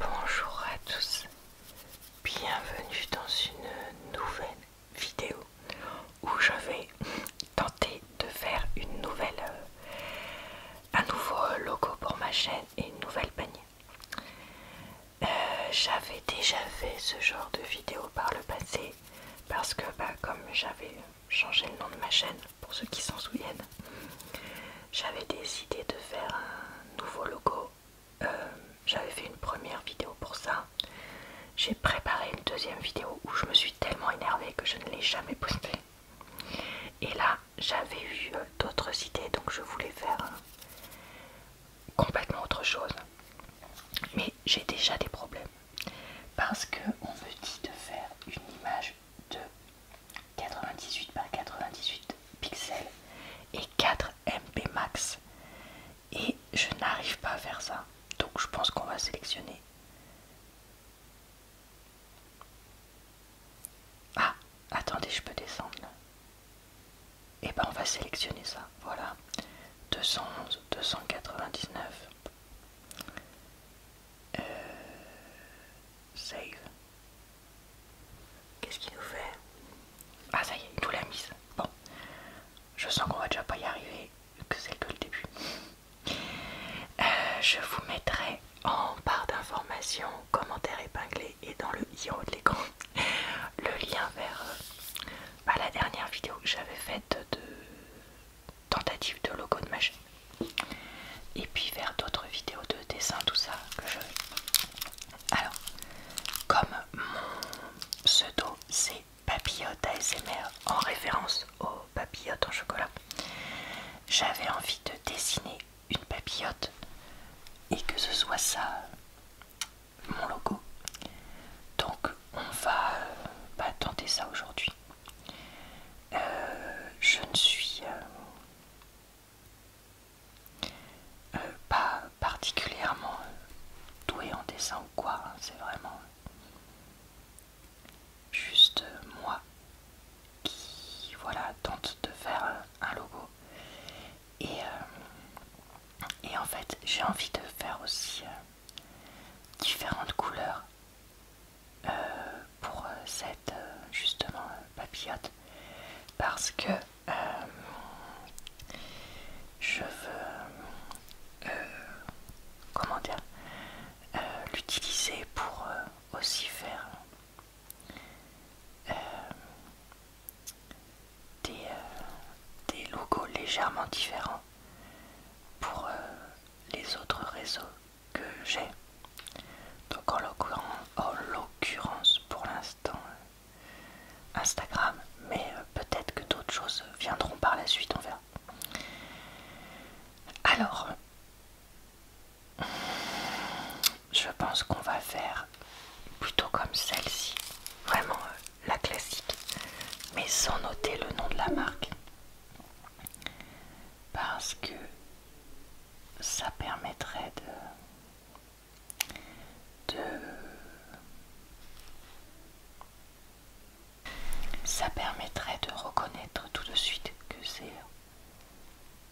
Bonjour à tous, bienvenue dans une nouvelle vidéo où je vais tenter de faire une nouvelle, euh, un nouveau logo pour ma chaîne et une nouvelle panier. Euh, j'avais déjà fait ce genre de vidéo par le passé parce que bah, comme j'avais changé le nom de ma chaîne, pour ceux qui s'en souviennent. J'avais décidé de faire un nouveau logo. Euh, j'avais fait une première vidéo pour ça. J'ai préparé une deuxième vidéo où je me suis tellement énervée que je ne l'ai jamais postée. Et là, j'avais eu euh, d'autres idées, donc je voulais faire complètement autre chose. Mais j'ai déjà des problèmes. Parce que on me dit de faire une image de 98 par 98 pixels et 4 MP max. Et je n'arrive pas à faire ça. Donc je pense qu'on va sélectionner. Ah, attendez, je peux descendre. Et eh ben on va sélectionner ça. Voilà. 211, 299. Euh, save. Qu'est-ce qu'il nous fait Ah ça y est, il nous l'a mise. Bon, je sens qu'on va déjà pas y arriver, que c'est tout le début. Euh, je vous mettrai en barre d'informations, commentaires épinglés et dans le i de l'écran le lien vers euh, bah, la dernière vidéo que j'avais faite de tentative de logo de ma chaîne et puis vers d'autres vidéos de dessin, tout ça que je alors, comme mon pseudo c'est Papillote ASMR en référence aux papillotes en chocolat, j'avais envie de dessiner une papillote et que ce soit ça mon logo. Donc, on va euh, bah, tenter ça aujourd'hui. Euh, je ne suis euh, euh, pas particulièrement euh, doué en dessin ou quoi, hein, c'est vraiment euh, juste moi qui voilà tente de faire un logo et, et en fait j'ai envie de faire aussi différentes couleurs euh, pour cette euh, justement papillote parce que euh, je veux comment dire l'utiliser pour aussi faire des, des logos légèrement différents pour les autres réseaux que j'ai. Donc en l'occurrence pour l'instant euh, Instagram, mais euh, peut-être que d'autres choses viendront par la suite, on verra. Alors, je pense qu'on va faire plutôt comme celle-ci, vraiment euh, la classique, mais sans noter le nom de la marque parce que ça permettrait de, de ça permettrait de reconnaître tout de suite que c'est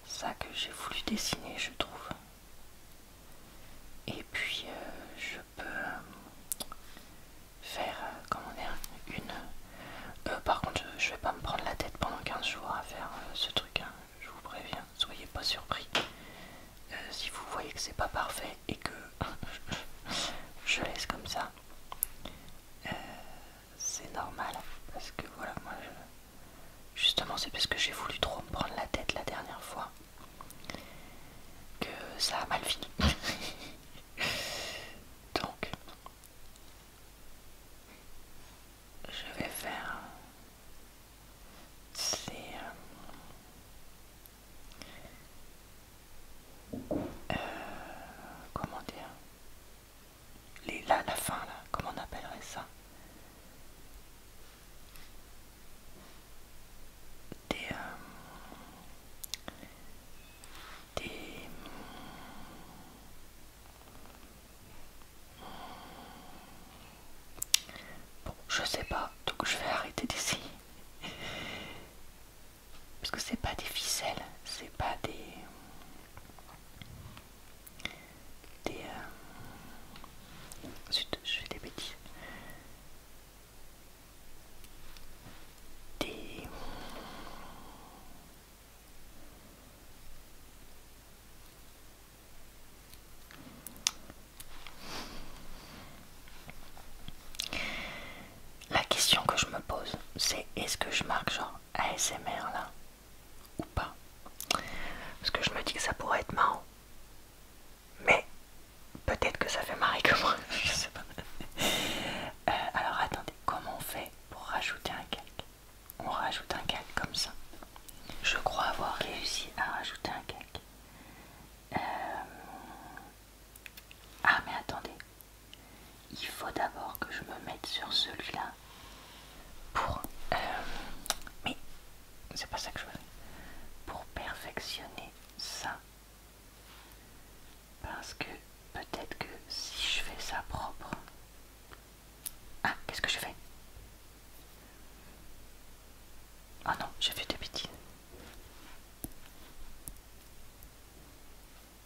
ça que j'ai voulu dessiner je trouve et puis euh, je peux faire euh, comment dire une euh, par contre, je, ne vais pas me prendre la tête pendant 15 jours à faire euh, ce truc, hein. je vous préviens, soyez pas surpris. Euh, si vous voyez que c'est pas parfait et que je laisse comme ça, c'est normal parce que voilà, moi justement, c'est parce que j'ai voulu trop me prendre la tête la dernière fois que ça a mal fini. Donc, je vais faire ces, euh, comment dire les là la fin là comment on appellerait ça des euh, des Bon, je sais pas, donc je vais arrêter d'ici. Parce que c'est pas des ficelles, c'est pas des. Des. Euh, je fais des bêtises. Des. La question que je me pose, c'est est-ce que je marque genre ASMR là ou pas Parce que je me dis que ça pourrait être marrant. Mais peut-être que ça fait marrer que moi, je sais pas. Euh, alors attendez, comment on fait pour rajouter un calque. On rajoute un calque comme ça. Je crois avoir réussi à rajouter un calque. Euh, ah mais attendez, il faut d'abord que je me mette sur celui-là pour... Euh, mais c'est pas ça que je veux. Pour perfectionner ça. Parce que peut-être que si je fais ça propre... Ah, qu'est-ce que je fais Ah non, j'ai fait des bêtises.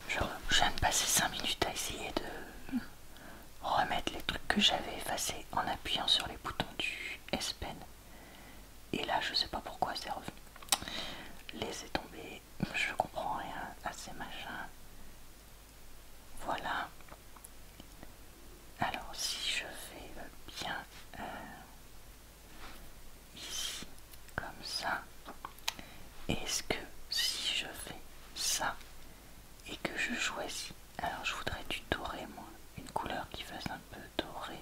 Je, viens de passer 5 minutes à essayer de remettre les trucs que j'avais effacés en appuyant sur les boutons du S Pen. Et là, je sais pas pourquoi c'est revenu. Laissez tomber je comprends rien à ces machins. Voilà. Alors si je fais bien euh, ici, comme ça, est-ce que si je fais ça et que je choisis, alors je voudrais du doré moi, une couleur qui fasse un peu doré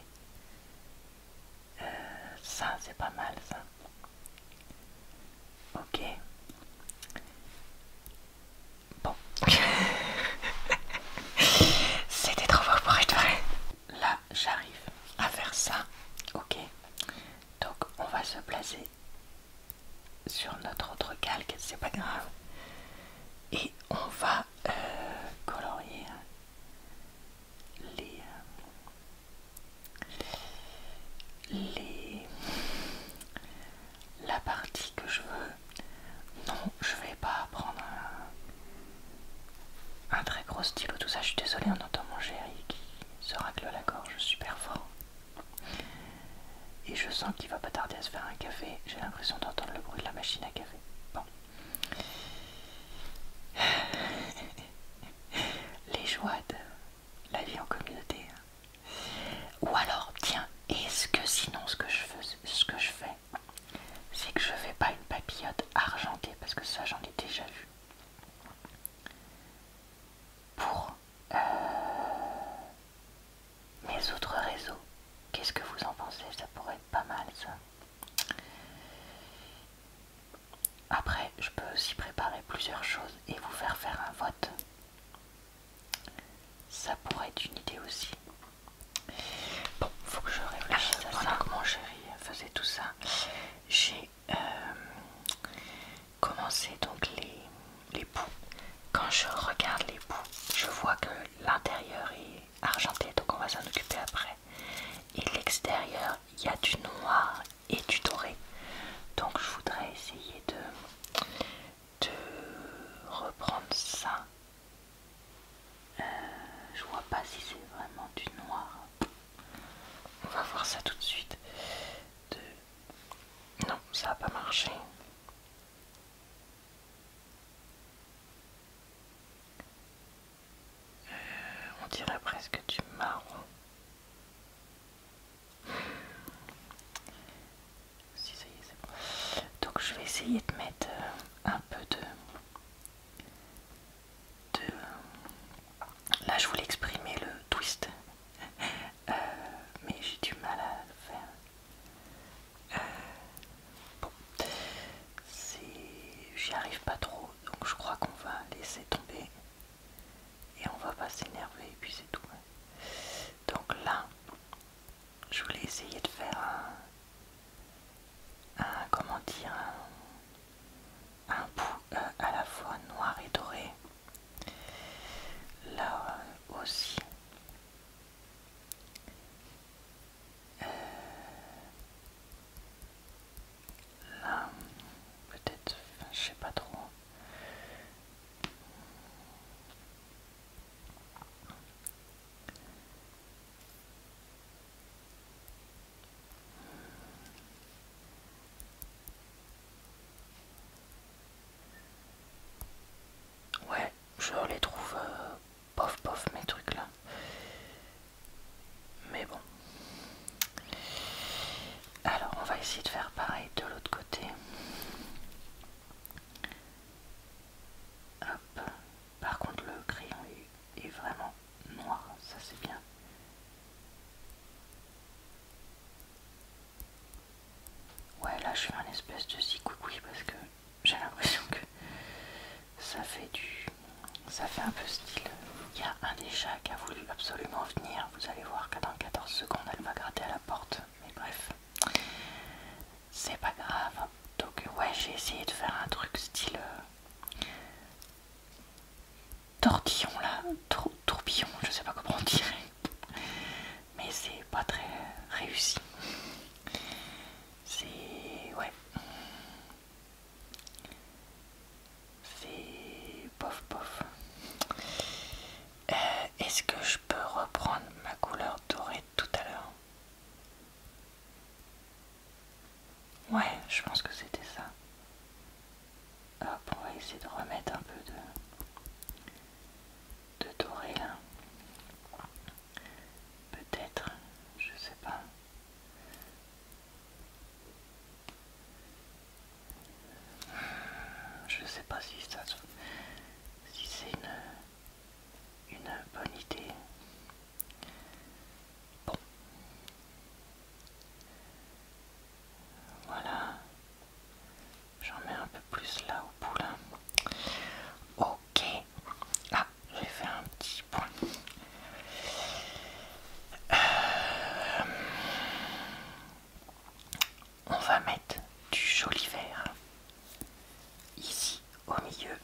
ça, c'est pas mal, ça. Ok. Bon. C'était trop fort pour être vrai. Là, j'arrive à faire ça. Ok. Donc, on va se placer sur notre autre calque, c'est pas grave. Et on va euh, colorier les, euh, les... la partie que je veux. Non, je vais pas prendre un, très gros stylo, tout ça. Je suis désolée, on entend mon chéri qui se racle la gorge super fort. Et je sens qu'il va pas tarder à se faire un café. J'ai l'impression d'entendre le bruit de la machine à café. Bon. les joies de la vie en communauté. Hein. Ou alors, tiens, est-ce que sinon ce que je fais, ce que je fais, c'est que je fais pas une papillote argentée parce que ça j'en ai déjà vu. Pour euh, mes autres réseaux, qu'est-ce que vous en pensez Ça pourrait être pas mal ça. Après, je peux aussi préparer plusieurs choses et vous faire faire un vote. Ça pourrait être une idée aussi. Bon, faut que je réfléchisse euh, ça. que mon chéri faisait tout ça, j'ai euh, commencé donc les, les Quand je regarde les bouts, je vois que l'intérieur est argenté, donc on va s'en occuper après. Et l'extérieur, il y a du noir et du doré. Donc je voudrais essayer de, de reprendre ça. Euh, je vois pas si c'est vraiment du noir. On va voir ça tout de suite. De... Non, ça a pas marché. Euh, on dirait presque du marron. Donc je vais essayer de mettre euh, un peu de... Là je voulais exprimer le twist, euh, mais j'ai du mal à le faire. bon, j'y arrive pas trop donc je crois qu'on va laisser tomber et on va pas s'énerver et puis c'est tout. Donc là, je voulais essayer de faire un, comment dire, un, bout euh, à la fois noir et doré. Là euh, aussi. Euh, Là, peut-être, je sais pas trop. Ouais, je les trouve euh, pof pof mes trucs là. Mais bon. Alors, on va essayer de faire pareil de l'autre côté. Hop. Par contre, le crayon est vraiment noir. Ça, c'est bien. Ouais, là, je suis un espèce de zigouigoui parce que j'ai l'impression que ça fait du ça fait un peu style il y a un des chats qui a voulu absolument venir vous allez voir que dans 14 secondes elle va gratter à la porte mais bref c'est pas grave donc ouais j'ai essayé de faire un truc style euh, tortillon là tourbillon je sais pas comment on dirait mais c'est pas très réussi c'est ouais c'est pof pof. Euh, est-ce que je peux reprendre ma couleur dorée tout à l'heure Ouais, je pense que c'était ça. Hop, on va essayer de remettre un peu de, de doré là. Peut-être, je sais pas. Je sais pas si ça si c'est une, bonne idée. Bon. Voilà. J'en mets un peu plus là au poulain. Ok. Ah, j'ai fait un petit point. Euh, on va mettre du joli vert ici au milieu.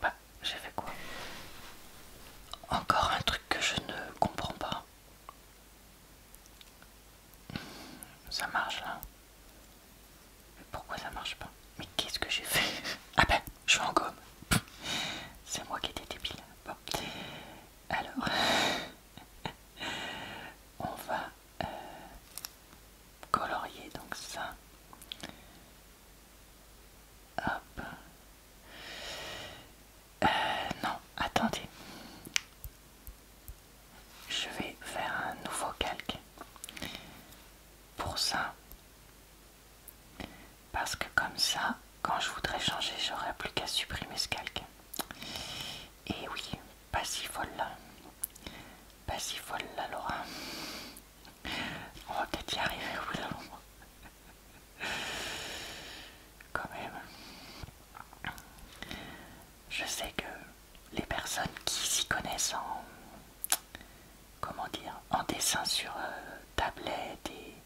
Bah, j'ai fait quoi Encore un truc que je ne comprends pas. Ça marche là pourquoi ça marche pas Mais qu'est-ce que j'ai fait Ah ben, je suis en gomme. C'est moi qui étais débile. Bon. Alors, on va euh, colorier donc ça. Hop. Euh, non, attendez. Je vais faire un nouveau calque pour ça. Parce que comme ça, quand je voudrais changer, j'aurais plus qu'à supprimer ce calque. Et oui, pas si folle là. Pas si folle là, Laura. On va peut-être y arriver au bout Quand même. Je sais que les personnes qui s'y connaissent en comment dire en dessin sur euh, tablette et,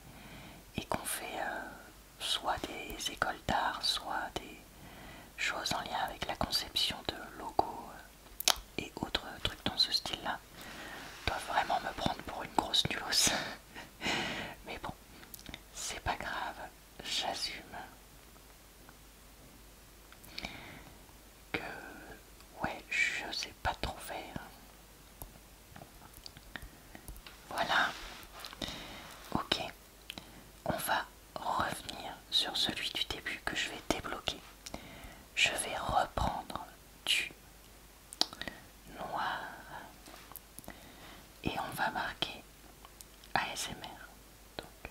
qu'on fait euh, soit des écoles d'art, soit des choses en lien avec la conception de logos euh, et autres trucs dans ce style-là, doivent vraiment me prendre pour une grosse nulose. Mais bon, c'est pas grave, j'assume que ouais je sais pas trop faire voilà ok on va revenir sur celui du début que je vais débloquer je vais reprendre du noir et on va marquer ASMR donc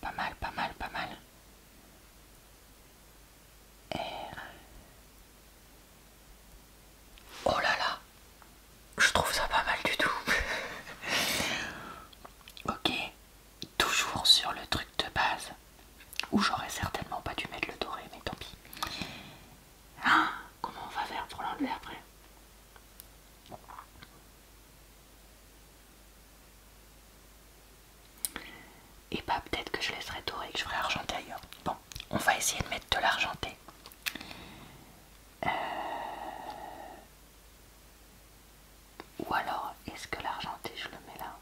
pas mal, pas mal, pas mal. Oh là là, je trouve ça pas mal du tout. ok, toujours sur le truc de base, où j'aurais certainement pas dû mettre le doré, mais tant pis. Ah, comment on va faire pour l'enlever après et bah peut-être que je laisserai dorer et que je ferai argenté ailleurs. Bon, on va essayer de mettre de l'argenté. Euh, ou alors, est-ce que l'argenté je le mets là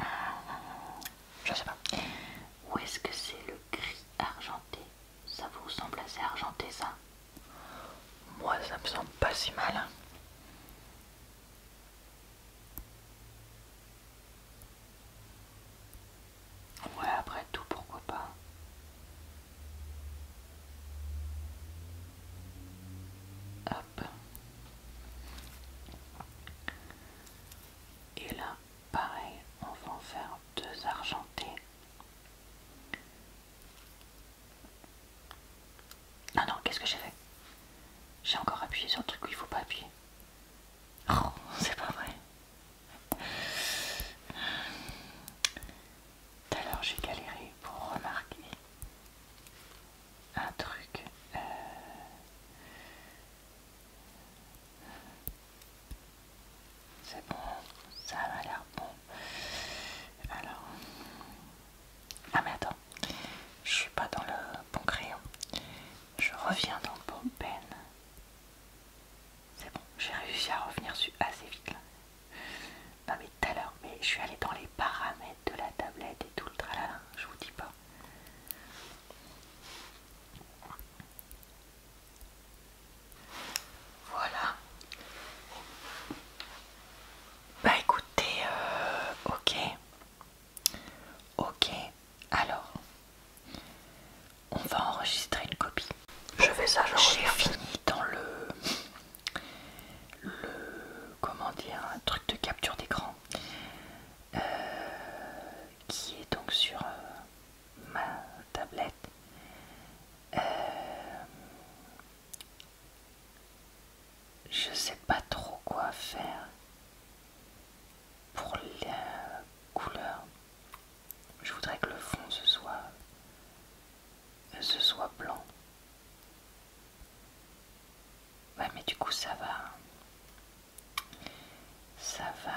euh, Je sais pas. Ou est-ce que c'est le gris argenté ça vous semble assez argenté ça Moi ça me semble pas si mal. Ouais après tout pourquoi pas. Hop. Et là, pareil, on va en faire deux argentés. Ah non, qu'est-ce que j'ai fait J'ai encore appuyé sur le truc où il faut pas appuyer. Oh, c'est pas vrai. Tout à l'heure, j'ai galéré pour remarquer un truc. Euh, c'est bon, ça a l'air bon. Alors. Ah mais attends, je suis pas dans le bon crayon. Je reviens dans le bon pen. C'est bon, j'ai réussi à revenir assez vite là. Non mais tout à l'heure, mais je suis allée dans les paramètres de la tablette et tout le tralala, je vous dis pas. Voilà. Bah écoutez, euh, ok. Ok, alors. On va enregistrer une copie. Je fais ça, J'ai fini dans le... Le... Comment dire Un truc de capture d'écran. Euh, qui est donc sur euh, ma tablette. Euh, je sais pas trop quoi faire pour la couleur. Je voudrais que le fond ce soit, euh, ce soit blanc. Ouais, mais du coup ça va, ça va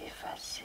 euh, effacer.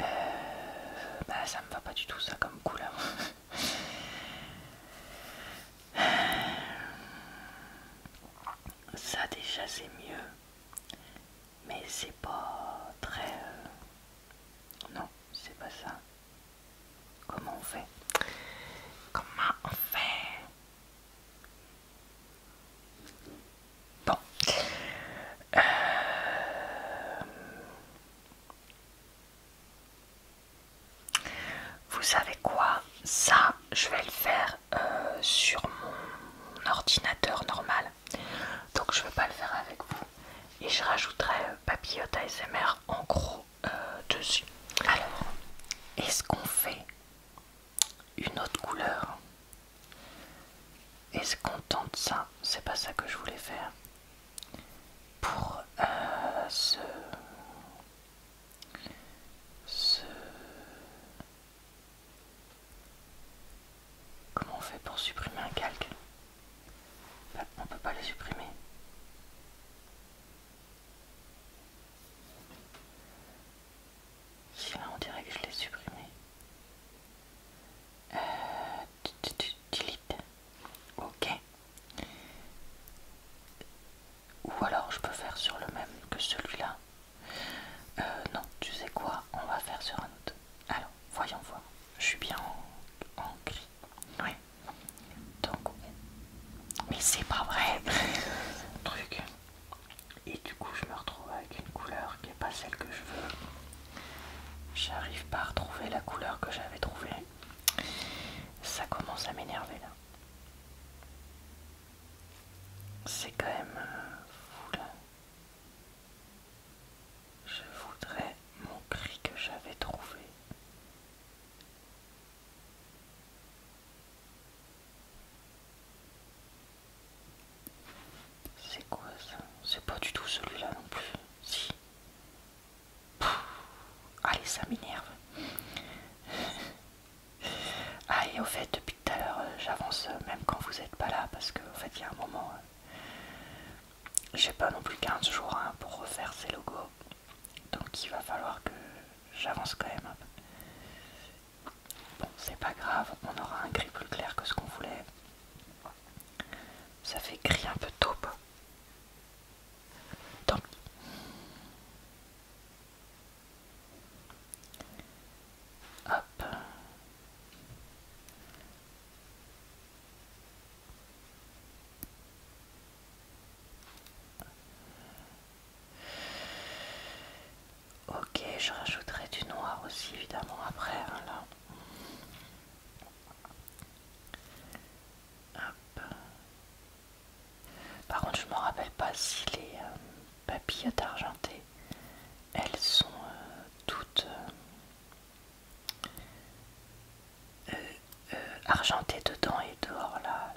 Euh, bah, ça me va pas du tout ça comme couleur. ça déjà c'est mieux. Mais c'est pas très... Euh, non, c'est pas ça. Comment on fait Comment on fait Bon. Euh, vous savez quoi Ça, je vais le faire euh, sur mon ordinateur normal. Donc je ne vais pas le faire avec vous. Et je rajouterai euh, papillote ASMR en gros euh, dessus. Alors, est-ce qu'on fait une autre couleur Est-ce qu'on tente ça C'est pas ça que je voulais faire pour euh, ce Comment on fait pour supprimer un calque On bah, On peut pas les supprimer. Si là on dirait que je l'ai supprimé. Euh, Ok. Ou alors je peux faire sur le même que celui-là. Euh, non, tu sais quoi, on va faire sur un autre. Alors, voyons voir. Je suis bien en, gris. Donc, mais c'est pas vrai. Et du coup, je me retrouve avec une couleur qui n'est pas celle que je veux. J'arrive pas à retrouver la couleur que j'avais trouvée. Ça commence à m'énerver là. C'est quand même euh, fou là. Je voudrais mon cri que j'avais trouvé. C'est quoi ça C'est pas du tout celui-là non plus. Si. Allez, ça m'énerve. allez au fait, depuis tout à l'heure, euh, j'avance euh, même quand vous n'êtes pas là, parce que fait, il y a un moment, euh, j'ai pas non plus 15 jours hein, pour refaire ces logos. Donc, il va falloir que j'avance quand même Bon, c'est pas grave, on aura un gris plus clair que ce qu'on voulait. Ça fait gris un peu taupe. Ok, je rajouterai du noir aussi évidemment après. Hein, là. Par contre, je me rappelle pas si les papilles euh, papillotes elles sont euh, toutes euh, argentées dedans et dehors là,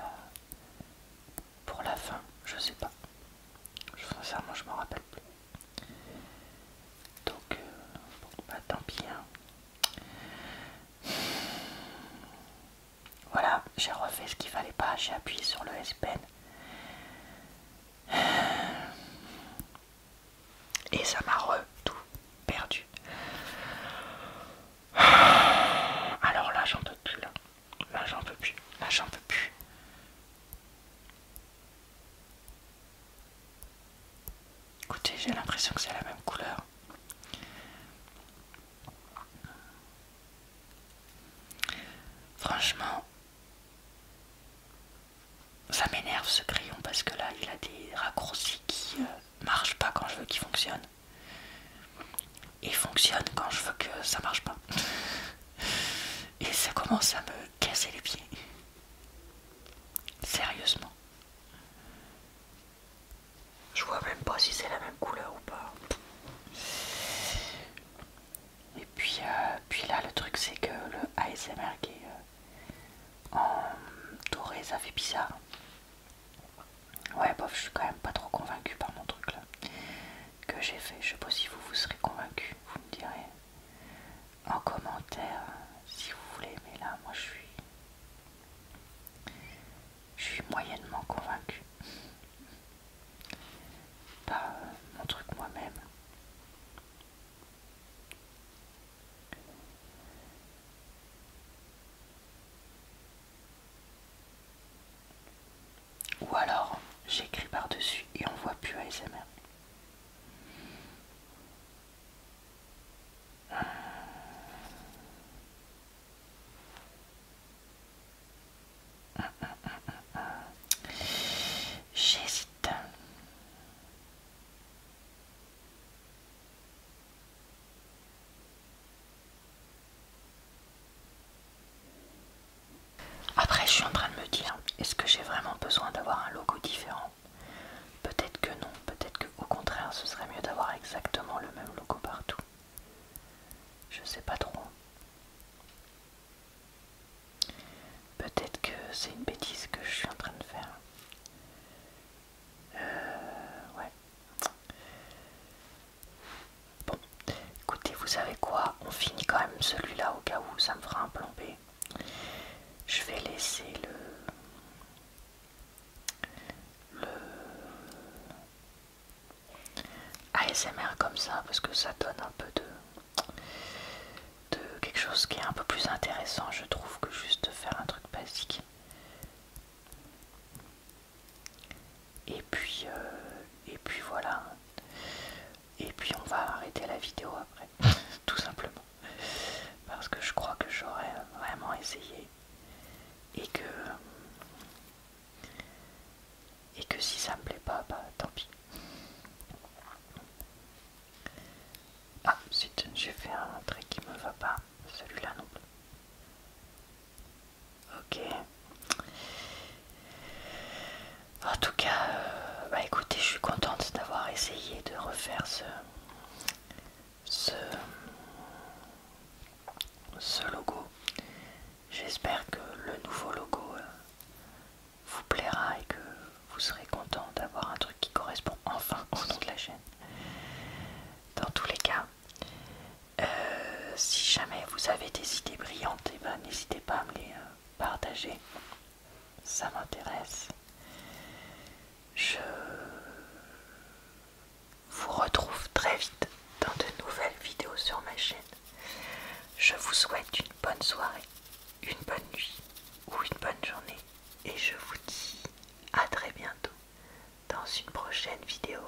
pour la fin. Je sais pas. Sincèrement, je me rappelle plus. Donc, euh, bah, tant pis. Hein. Voilà, j'ai refait ce qu'il fallait pas, j'ai appuyé sur le S Pen. Et ça m'a re tout perdu. Alors là, j'en peux plus là. Là, j'en peux plus. Là, j'en peux plus. Écoutez, j'ai l'impression que c'est la même couleur. Franchement, ça m'énerve ce crayon parce que là, il a des raccourcis qui euh, marchent pas quand je veux qu'il fonctionne. Et fonctionne quand je veux que ça marche pas. Et ça commence à me casser les pieds. Sérieusement. Je vois même pas si c'est la même couleur ou pas. Et puis, euh, là, le truc, c'est que le ASMR qui euh, en doré, ça fait bizarre. Ouais, bof, je suis quand même pas trop convaincu par mon truc là que j'ai fait. Je sais pas si vous vous serez convaincu, vous me direz en commentaire si vous voulez, mais là moi je suis je suis moyennement convaincue Pas euh, mon truc moi-même. Ou alors j'écris par-dessus et on voit plus ASMR. J'hésite. Après, je suis en train de me dire, est-ce que j'ai vraiment besoin d'avoir un logo différent Peut-être que non, peut-être qu'au contraire, ce serait mieux d'avoir exactement le même logo partout. Je sais pas trop. Peut-être que c'est une bêtise que je suis en train de faire. Euh, ouais. Bon, écoutez, vous savez quoi On finit quand même celui-là au cas où ça me fera un plombé. Je vais laisser le, ASMR comme ça parce que ça donne un peu de, de quelque chose qui est un peu plus intéressant, je trouve, que juste faire un truc basique. Et puis, euh, et puis voilà et puis on va arrêter la vidéo après, tout simplement. Parce que je crois que j'aurais vraiment essayé et que et que si ça me plaît pas, bah tant pis. Ah j'ai fait un trait qui me va pas, celui-là non plus. Ok. En tout cas, euh, bah écoutez, je suis contente d'avoir essayé de refaire ce, logo. J'espère que le nouveau logo euh, vous plaira et que vous serez content d'avoir un truc qui correspond enfin au nom de la chaîne. Dans tous les cas, euh, si jamais vous avez des idées brillantes, eh ben, n'hésitez pas à me les, partager. Ça m'intéresse. Je vous retrouve très vite dans de nouvelles vidéos sur ma chaîne. Je vous souhaite une bonne soirée, une bonne nuit ou une bonne journée. Et je vous dis à très bientôt dans une prochaine vidéo.